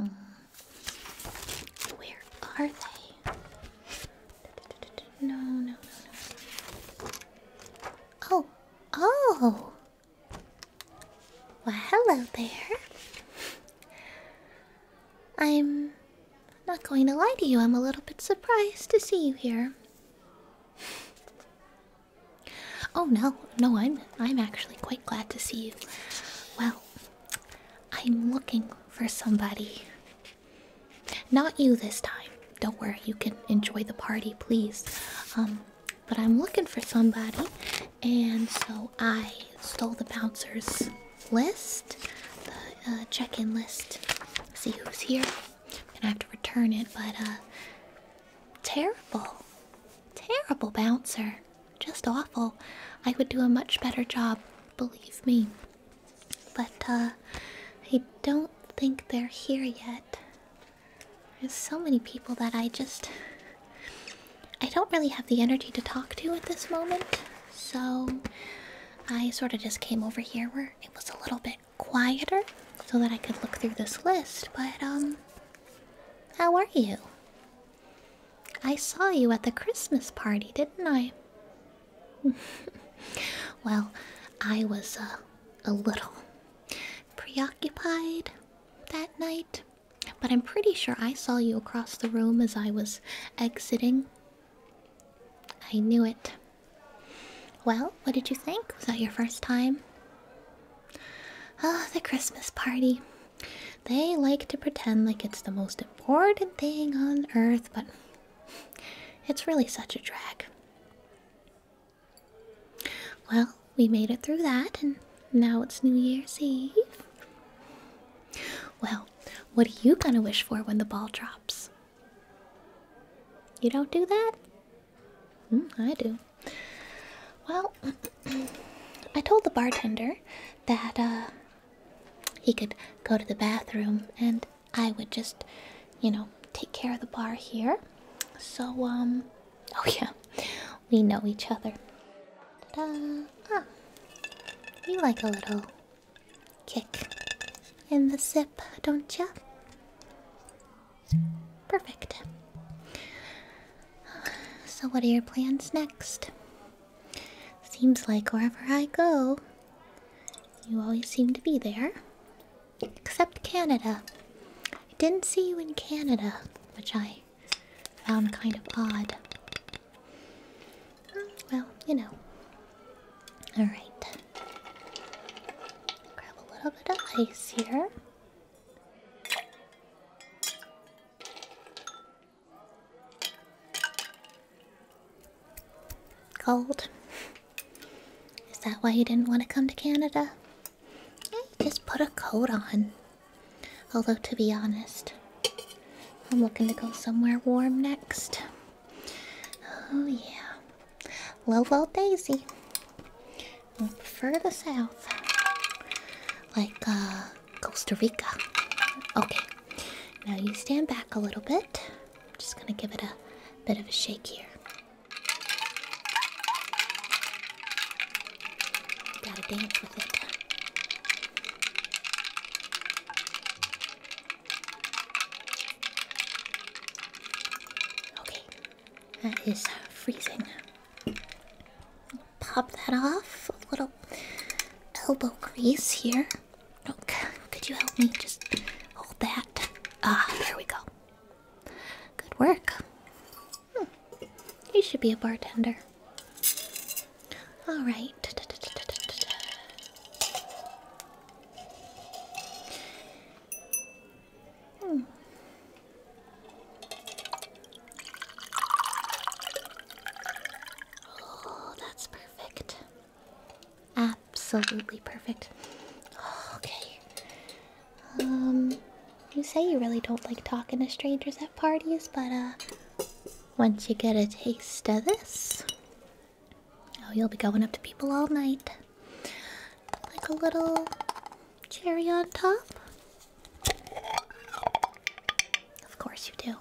Uh, where are they? No, no, no, no. Oh, oh! Well, hello there. I'm not going to lie to you, I'm a little bit surprised to see you here. Oh no, no, I'm I'm actually quite glad to see you. Well, I'm looking for somebody. Not you this time. Don't worry, you can enjoy the party, please. Um, but I'm looking for somebody, and so I stole the bouncer's list, the uh, check-in list. See who's here. I'm gonna have to return it, but uh, terrible. Terrible bouncer. Just awful. I would do a much better job, believe me. But, uh, I don't think they're here yet. There's so many people that I just. I don't really have the energy to talk to at this moment, so I sort of just came over here where it was a little bit quieter so that I could look through this list. But, um, how are you? I saw you at the Christmas party, didn't I? well, I was uh, a little preoccupied that night, but I'm pretty sure I saw you across the room as I was exiting. I knew it. Well, what did you think? Was that your first time? Oh, the Christmas party. They like to pretend like it's the most important thing on earth, but it's really such a drag. Well, we made it through that, and now it's New Year's Eve. Well, what are you gonna wish for when the ball drops? You don't do that? Hmm, I do. Well, I told the bartender that uh, he could go to the bathroom and I would just, you know, take care of the bar here. So, um, oh yeah, we know each other. Ah, you like a little kick in the zip, don't ya? Perfect. So, what are your plans next? Seems like wherever I go, you always seem to be there. Except Canada. I didn't see you in Canada, which I found kind of odd. Well, you know. Alright. Grab a little bit of ice here. Cold. Is that why you didn't want to come to Canada? Just put a coat on. Although, to be honest, I'm looking to go somewhere warm next. Oh, yeah. Well, well, Daisy. I prefer the south. Like, uh, Costa Rica. Okay, now you stand back a little bit. I'm just gonna give it a bit of a shake here. Gotta dance with it. Okay, that is freezing pop that off. A little elbow grease here. Look, could you help me just hold that? Ah, there we go. Good work. Hmm. You should be a bartender. All right. Hmm. Oh, that's perfect. Absolutely perfect. okay. Um, you say you really don't like talking to strangers at parties, but uh, once you get a taste of this, oh, you'll be going up to people all night. Like a little cherry on top. Of course you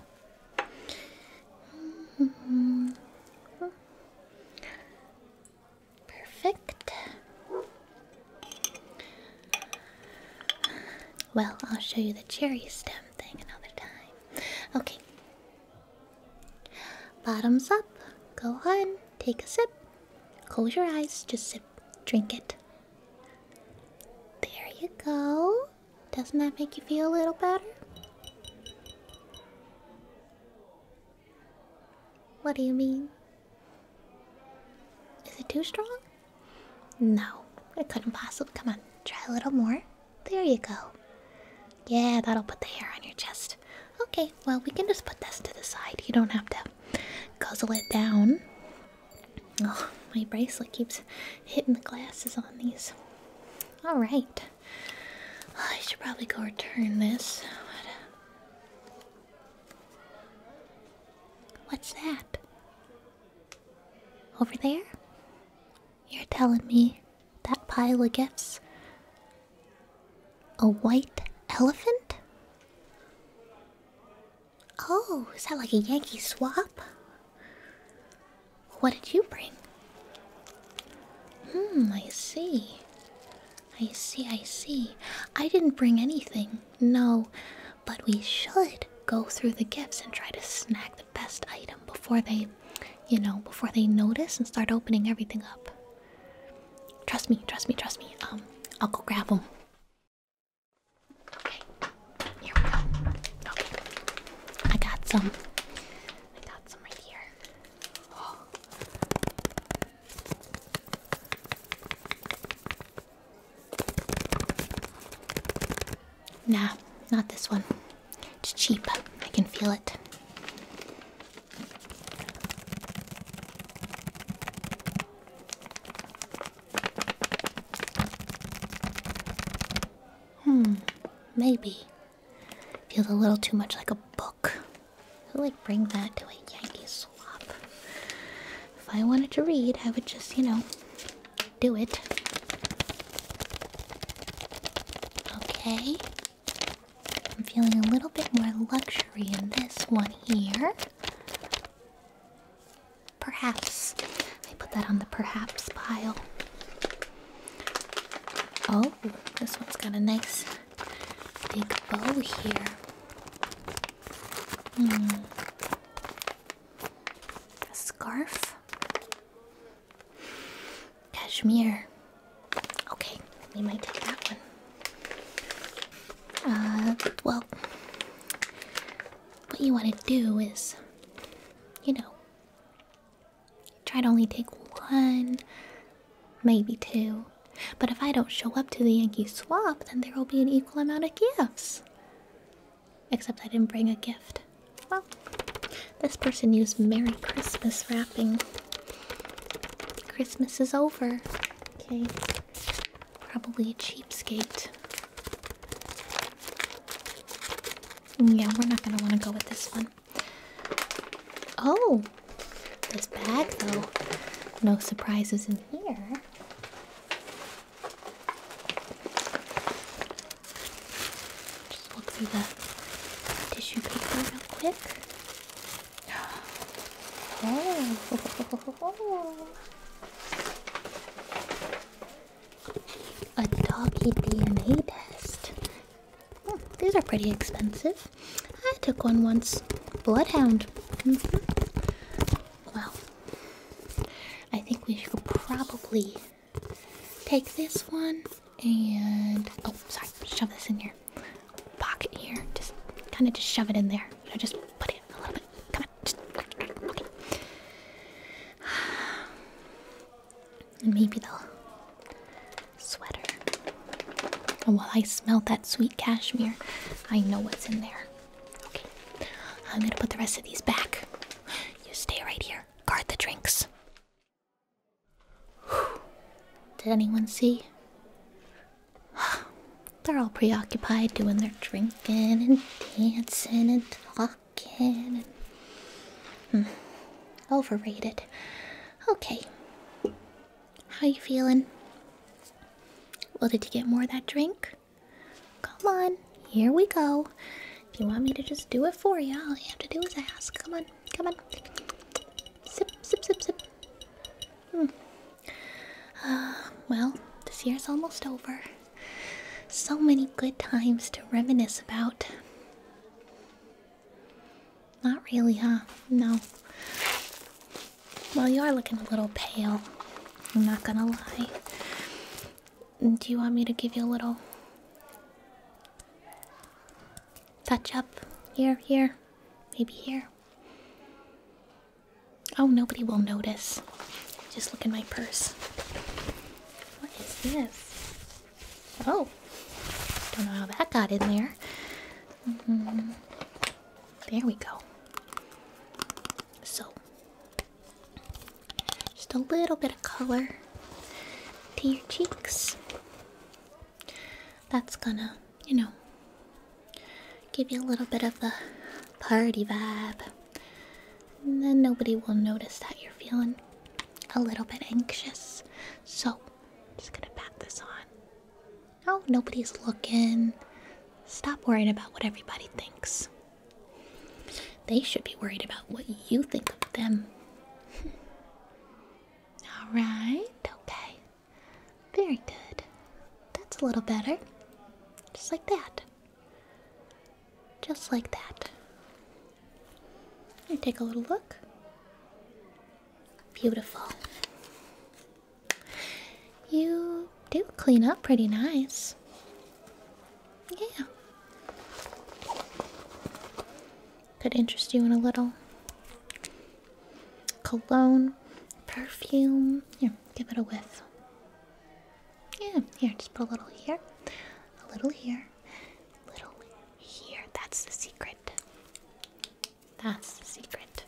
do. Perfect. Well, I'll show you the cherry stem thing another time. Okay. Bottoms up. Go on. Take a sip. Close your eyes. Just sip. Drink it. There you go. Doesn't that make you feel a little better? What do you mean? Is it too strong? No, it couldn't possibly. Come on, try a little more. There you go. Yeah, that'll put the hair on your chest. Okay, well, we can just put this to the side. You don't have to guzzle it down. Oh, my bracelet keeps hitting the glasses on these. Alright. I should probably go return this. What's that? Over there? You're telling me that pile of gifts? A white elephant? Oh, is that like a Yankee swap? What did you bring? Hmm, I see. I see, I see. I didn't bring anything, no, but we should go through the gifts and try to snag the best item before they, you know, before they notice and start opening everything up. Trust me, trust me, trust me. Um, I'll go grab them. Okay, here we go. I got some. I got some right here. Nah, not this one. It's cheap. I can feel it. Hmm, maybe. Feels a little too much like a book. I like bring that to a Yankee swap. If I wanted to read, I would just, you know, do it. Okay. I'm feeling a little bit more luxury in this one here. Perhaps. I put that on the perhaps pile. Oh, this one's got a nice big bow here. Hmm. A scarf? Cashmere. Okay, we might take that one. Uh, well, what you want to do is you know, try to only take one, maybe two. But if I don't show up to the Yankee swap, then there will be an equal amount of gifts. Except I didn't bring a gift. Well, this person used Merry Christmas wrapping. Christmas is over. Okay. Probably a cheapskate. Yeah, we're not gonna want to go with this one. Oh, this bag though. No surprises in here. Just look through the tissue paper real quick. Oh. A doggy DNA test. Hmm, these are pretty expensive. I took one once. Bloodhound. Mm-hmm. Well, I think we should probably take this one and. Oh, sorry. Shove this in here. Pocket here. Just kind of just shove it in there. So just put it a little bit. Come on. And maybe the sweater. And while I smell that sweet cashmere, I know what's in there. Okay, I'm gonna put the rest of these back. You stay right here, guard the drinks. Did anyone see? They're all preoccupied doing their drinking and dancing and talking. Falcon. Hmm, overrated. Okay. How you feeling? Well, did you get more of that drink? Come on, here we go. If you want me to just do it for you, all you have to do is ask. Come on, come on. Sip, sip, sip, sip. Hmm. Uh, well, this year's almost over. So many good times to reminisce about. Not really, huh? No. Well, you are looking a little pale. I'm not gonna lie. Do you want me to give you a little touch up? Here, here, maybe here. Oh, nobody will notice. Just look in my purse. What is this? Oh, don't know how that got in there. Mm-hmm. There we go. So, just a little bit of color to your cheeks. That's gonna, you know, give you a little bit of the party vibe. And then nobody will notice that you're feeling a little bit anxious. So, I'm just gonna pat this on. Oh, nobody's looking. Stop worrying about what everybody thinks. They should be worried about what you think of them. Alright, okay. Very good. That's a little better. Just like that. Just like that. Here, take a little look. Beautiful. You do clean up pretty nice. Yeah. Could interest you in a little cologne, perfume. Here, give it a whiff. Yeah, here, just put a little here, a little here, little here. That's the secret. That's the secret.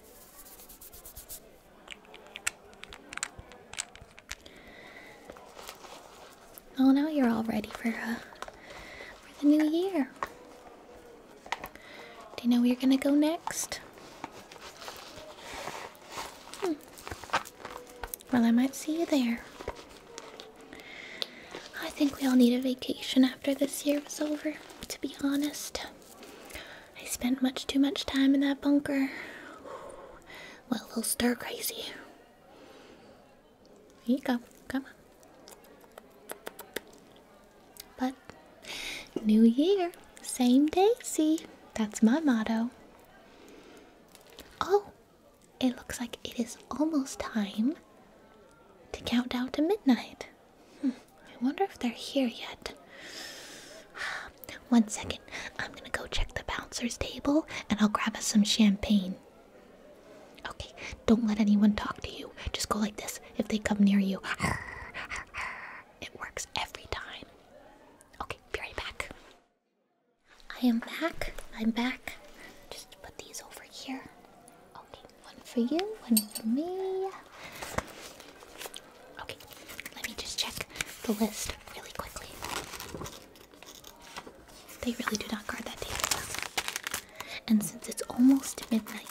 Oh, now you're all ready for, uh, for the new year. Do you know where you're gonna go next? Hmm. Well, I might see you there. I think we all need a vacation after this year was over, to be honest. I spent much too much time in that bunker. Well, a little stir crazy. Here you go. Come on. But, new year, same daisy. That's my motto. Oh, it looks like it is almost time to count down to midnight. Hmm, I wonder if they're here yet. One second, I'm gonna go check the bouncer's table and I'll grab us some champagne. Okay, don't let anyone talk to you. Just go like this if they come near you. It works every time. Okay, be right back. I am back. I'm back. Just put these over here. Okay, one for you, one for me. Okay, let me just check the list really quickly. They really do not guard that table And since it's almost midnight,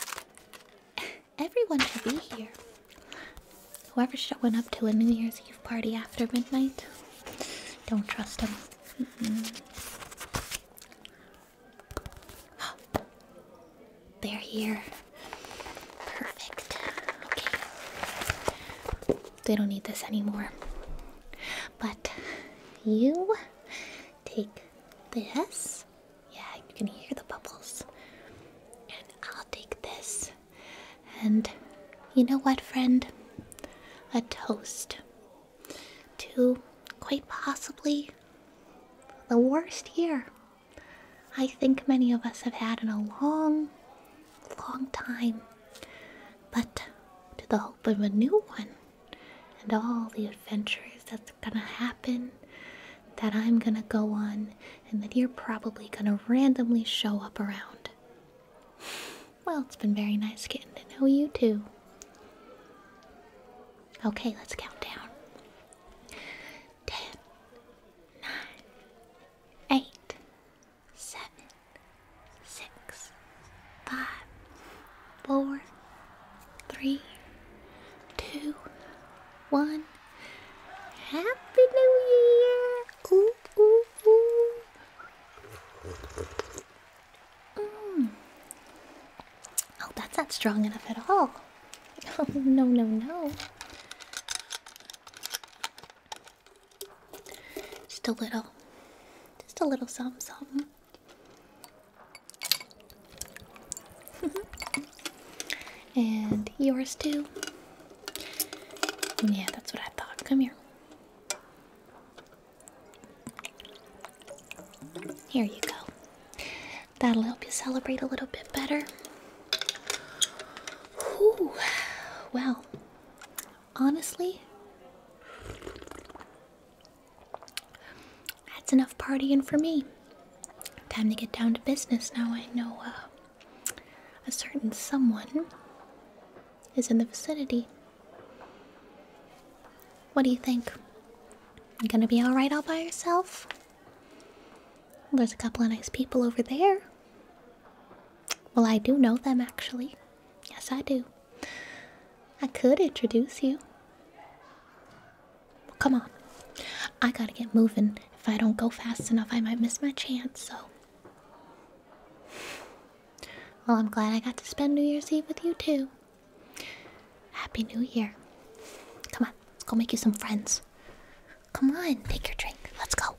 everyone should be here. Whoever's showing up to a New Year's Eve party after midnight, don't trust them. Mm-hmm. They're here. Perfect. Okay. They don't need this anymore. But you take this. Yeah, you can hear the bubbles. And I'll take this. And you know what, friend? A toast to quite possibly the worst year I think many of us have had in a long, long time. But to the hope of a new one and all the adventures that's gonna happen, that I'm gonna go on, and that you're probably gonna randomly show up around. Well, it's been very nice getting to know you too. Okay, let's count down. Ten, nine, eight, seven, six, five, four, three, two, one. Happy New Year! Ooh, ooh, ooh. Mm. Oh, that's not strong enough at all. no, no, no. Just a little. Just a little something, something. and yours too. Yeah, that's what I thought. Come here. Here you go. That'll help you celebrate a little bit better. Ooh, well, honestly, that's enough partying for me. Time to get down to business now. I know uh, a certain someone is in the vicinity. What do you think? You gonna be alright all by yourself? There's a couple of nice people over there. Well, I do know them actually. Yes, I do. I could introduce you. come on. I gotta get moving. If I don't go fast enough, I might miss my chance, so. Well, I'm glad I got to spend New Year's Eve with you too. Happy New Year. Come on, let's go make you some friends. Come on, take your drink. Let's go.